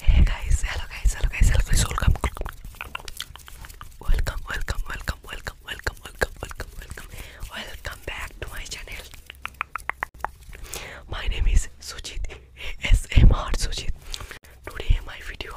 Hey guys, hello guys, hello guys, hello guys, welcome. Welcome, welcome, welcome, welcome, welcome, welcome, welcome, welcome. back to my channel. My name is Sujit ASMR Sujit. Today my video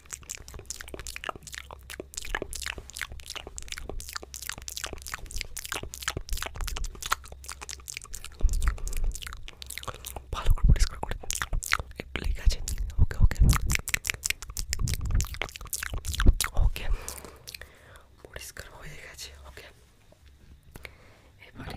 ভালো করে পরিষ্কার করে একটু লেগে আছে okay okay okay পরিষ্কার হয়ে গেছে ওকে এবারে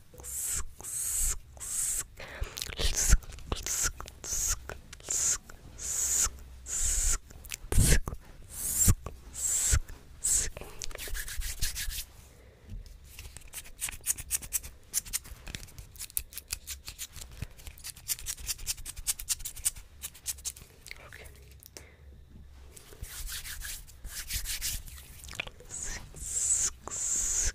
Okay. Six, six,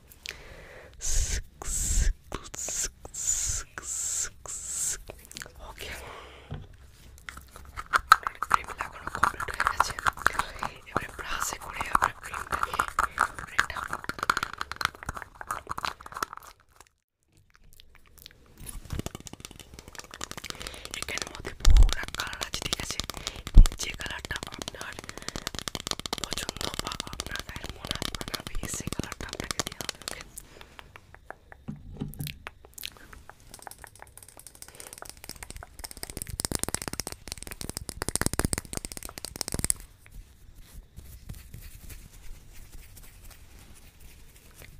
okay cream লাগানো কমপ্লিট হয়ে গেছে এবারে ব্রাশে করে আমরা ক্রিমটাকে এখানের মধ্যে বহু কালার আছে ঠিক আছে যে কালারটা আপনার পছন্দ বা আপনার গায়ের মনে বানাবে সেই কালারটা আপনাকে দেওয়া হবে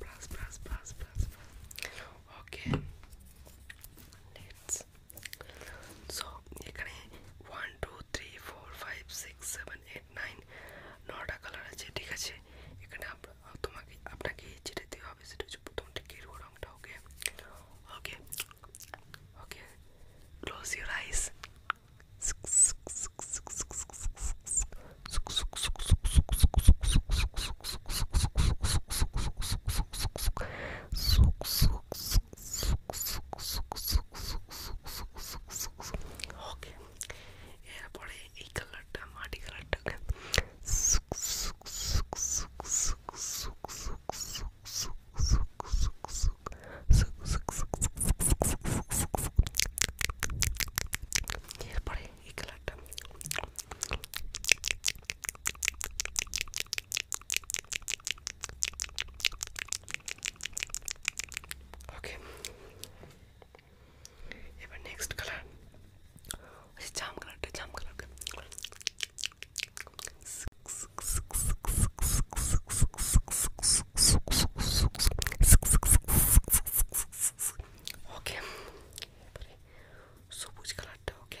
okay plus plus plus plus okay let's so এখানে one two three four five six seven eight nine নটা কালার আছে ঠিক আছে এখানে তোমাকে আপনাকে যেটা দেওয়া হবে সেটা হচ্ছে প্রথমটা গেরুয়া রঙটা okay okay okay close your eyes okay এরপরে এই কালারটা মাটি কালারটাকে এরপরে এই কালারটা ওকে এবার নেক্সট কালার হচ্ছে জাম কালারটা জাম কালারটা ওকে সবুজ কালারটা okay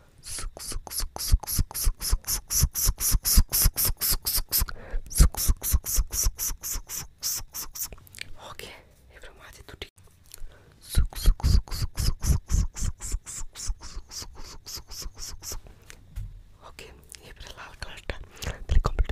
Ok, riformate tutti. Ok, e per l'altra volta te li completo.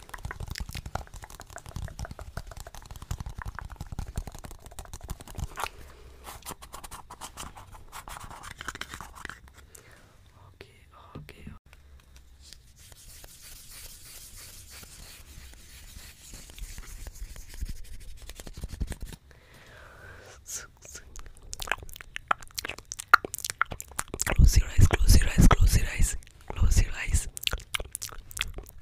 Okay, okay. Close your eyes, close your eyes, close your eyes, close your eyes.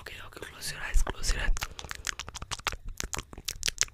Okay, okay, close your eyes, close your eyes.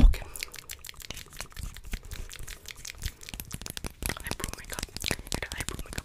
Okay. Eyebrow makeup. Get an eyebrow makeup.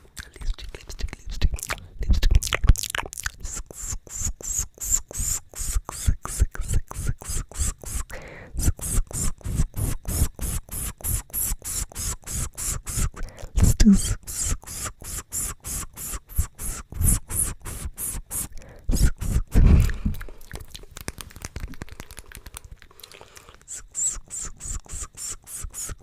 lipstick, lipstick, lipstick, lipstick. Let's do okay আপনার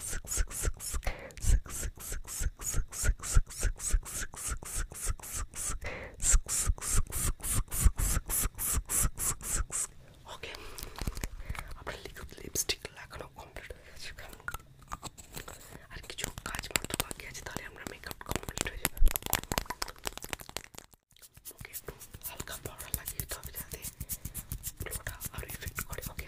liquid lipstick লাগানো complete হয়ে গেছে আর কিছু কাজ মাত্র বাকি আছে তাহলে আমরা মেকআপ কমপ্লিট হয়ে যাবে ওকে একটু হালকা পাউডার লাগিয়ে দিতে হবে যাতে গ্লোটা আরও ইফেক্ট করে ওকে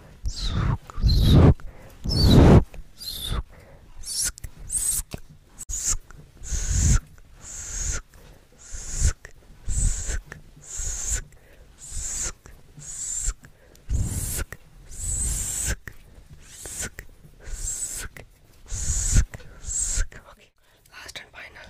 Okay, last and final.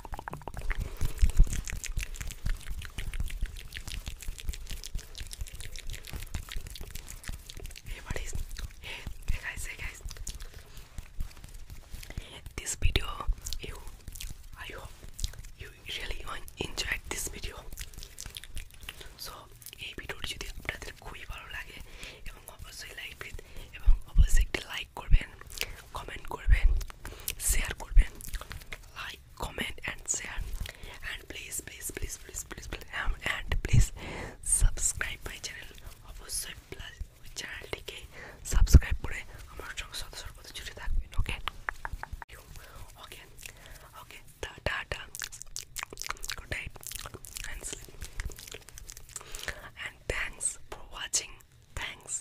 Hey buddies, hey, hey guys, hey guys. This video, you, I hope you really enjoyed this video. So, এই ভিডিওটি যদি আপনাদের খুবই ভালো লাগে এবং অবশ্যই লাইক এবং অবশ্যই একটি লাইক করবেন কমেন্ট করবেন শেয়ার করবেন আর like, comment, and share. And please, please, please, please, please, please, um, and please subscribe my channel. অবশ্যই প্লাস চ্যানেলটিকে সাবস্ক্রাইব করে আমার সঙ্গে সদা সর্বদা জুড়ে থাকবেন okay okay okay tata good night and sleep and thanks for watching thanks